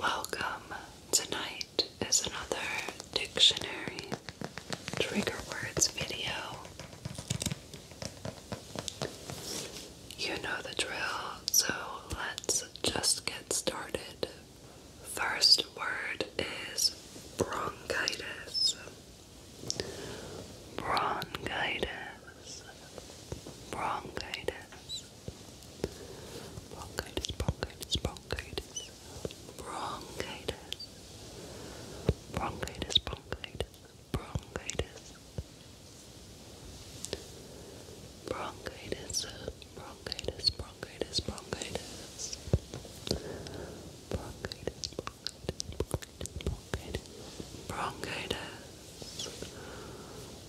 Welcome. Tonight is another dictionary trigger words video. You know the drill, so let's just get started. First word is bronchitis. Bronchitis. Bronchitis. Bronchitis, bronchitis, bronchitis. Bronchitis. Bronchitis, bronchitis, bronchitis. Bronchitis, bronchitis, bronchitis, bronchitis. Bronchitis, bronchitis, bronchitis, bronchitis. Bronchitis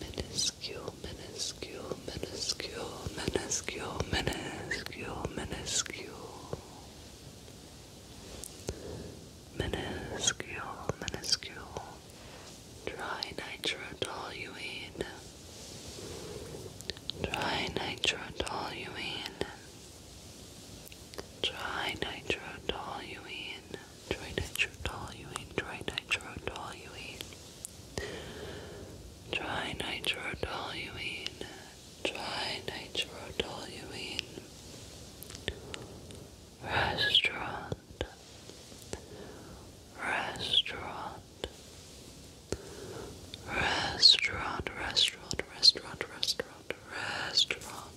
minuscule, minuscule, minuscule, minuscule, minuscule, minuscule, minuscule, minuscule. Dry nitrotoluene. Dry nitrotoluene. Dry nitrotoluene trinitrodoluene, trinitrodoluene, trinitrodoluene, trinitrodoluene, restaurant, restaurant, restaurant, restaurant, restaurant, restaurant, restaurant.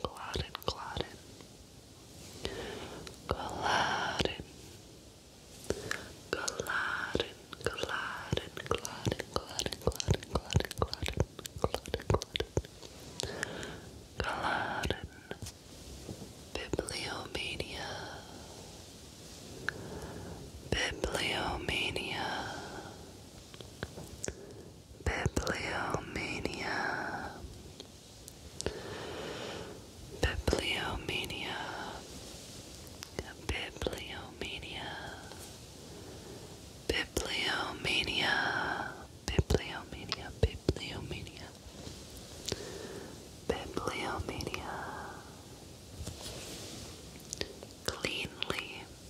Culloden, Culloden, Culloden, Culloden, Culloden, Culloden, Culloden, Culloden, Culloden, Culloden, Culloden, Culloden, Bibliomania, Bibliomania. Bibliomania Bibliomania Bibliomania Bibliomania Bibliomania Bibliomania Bibliomania Cleanly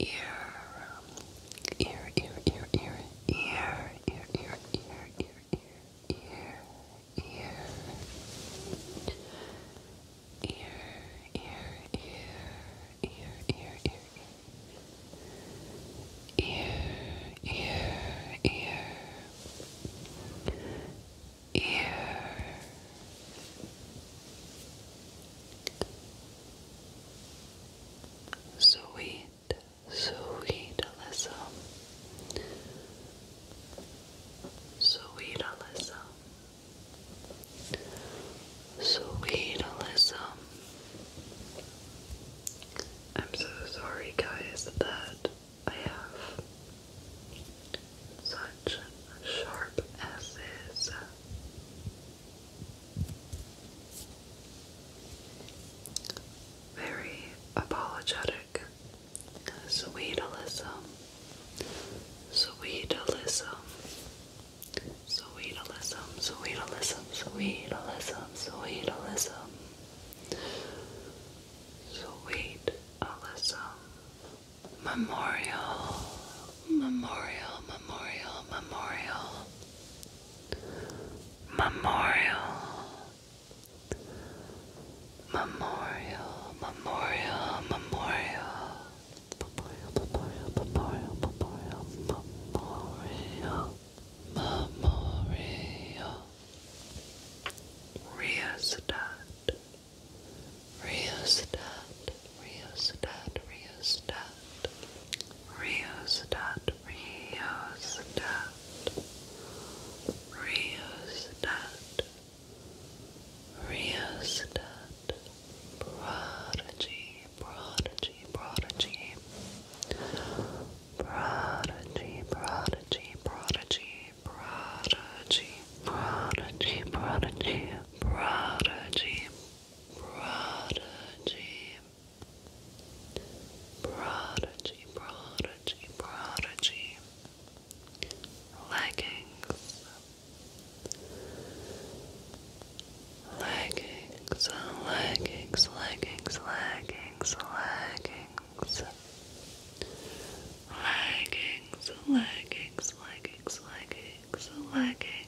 ear, ear, ear, ear, ear, ear, ear, ear, ear, ear, ear, ear, ear. Ear, ear, ear, ear, ear, ear, ear, ear, ear, ear, Sweet, sweet Alyssa. Sweet Alyssa. Sweet Alyssa. I'm so sorry, guys, that I have such sharp S's very apologetic. Sweetalism. Sweetalism. Sweetalism. Sweetalism. Sweetalism. Sweetalism. Sweetalism. Memorial. Memorial. Memorial. Memorial. Memorial, Memorial, Memorial, Memorial, Memorial, Memorial, Memorial, Memorial, Memorial, rheostat, rheostat, rheostat, rheostat, rheostat, rheostat, prodigy, prodigy, prodigy, prodigy, prodigy, prodigy, prodigy, prodigy, prodigy, prodigy. Prodigy, Prodigy, prodigy, prodigy, prodigy, leggings, leggings, leggings, leggings, leggings, leggings, leggings, leggings, leggings, leggings, leggings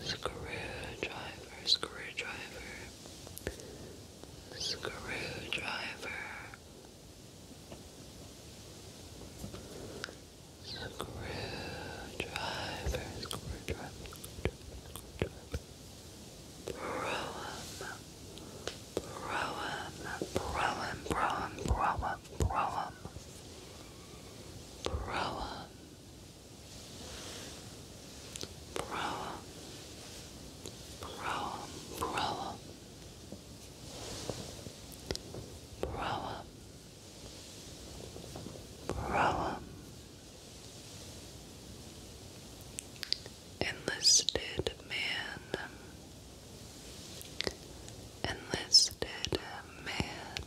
Screwdriver, screwdriver, screwdriver, screwdriver, screwdriver, Broem, broem, broem, broem, broem, broem, broem, Proa, proa, proa, proa, enlisted man, enlisted man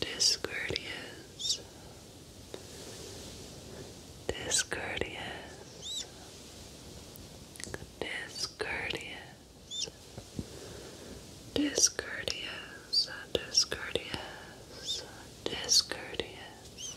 discourteous, discourteous, discourteous, discourteous, discourteous, discourteous, discourteous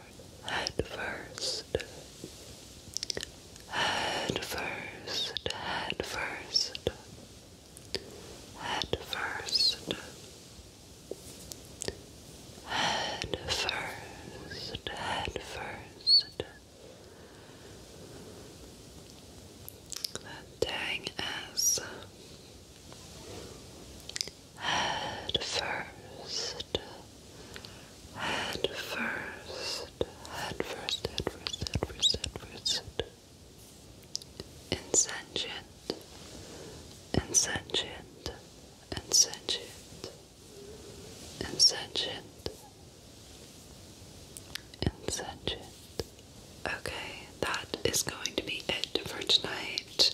head first, head first, head first, head first, head first, head first. That dang ass head first, head first, head first, head first, head first, head first. Insentient, insentient, insentient, insentient, insentient. Okay, that is going to be it for tonight.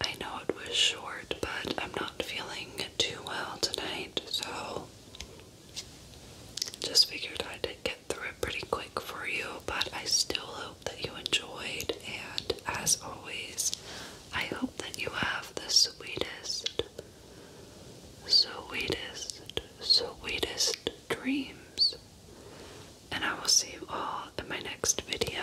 I know it was short, but I'm not feeling too well tonight, so just figured I did get through it pretty quick for you, but I still hope that you enjoyed, and as always, I hope that you have the sweetest, sweetest, sweetest dreams. And I will see you all in my next video.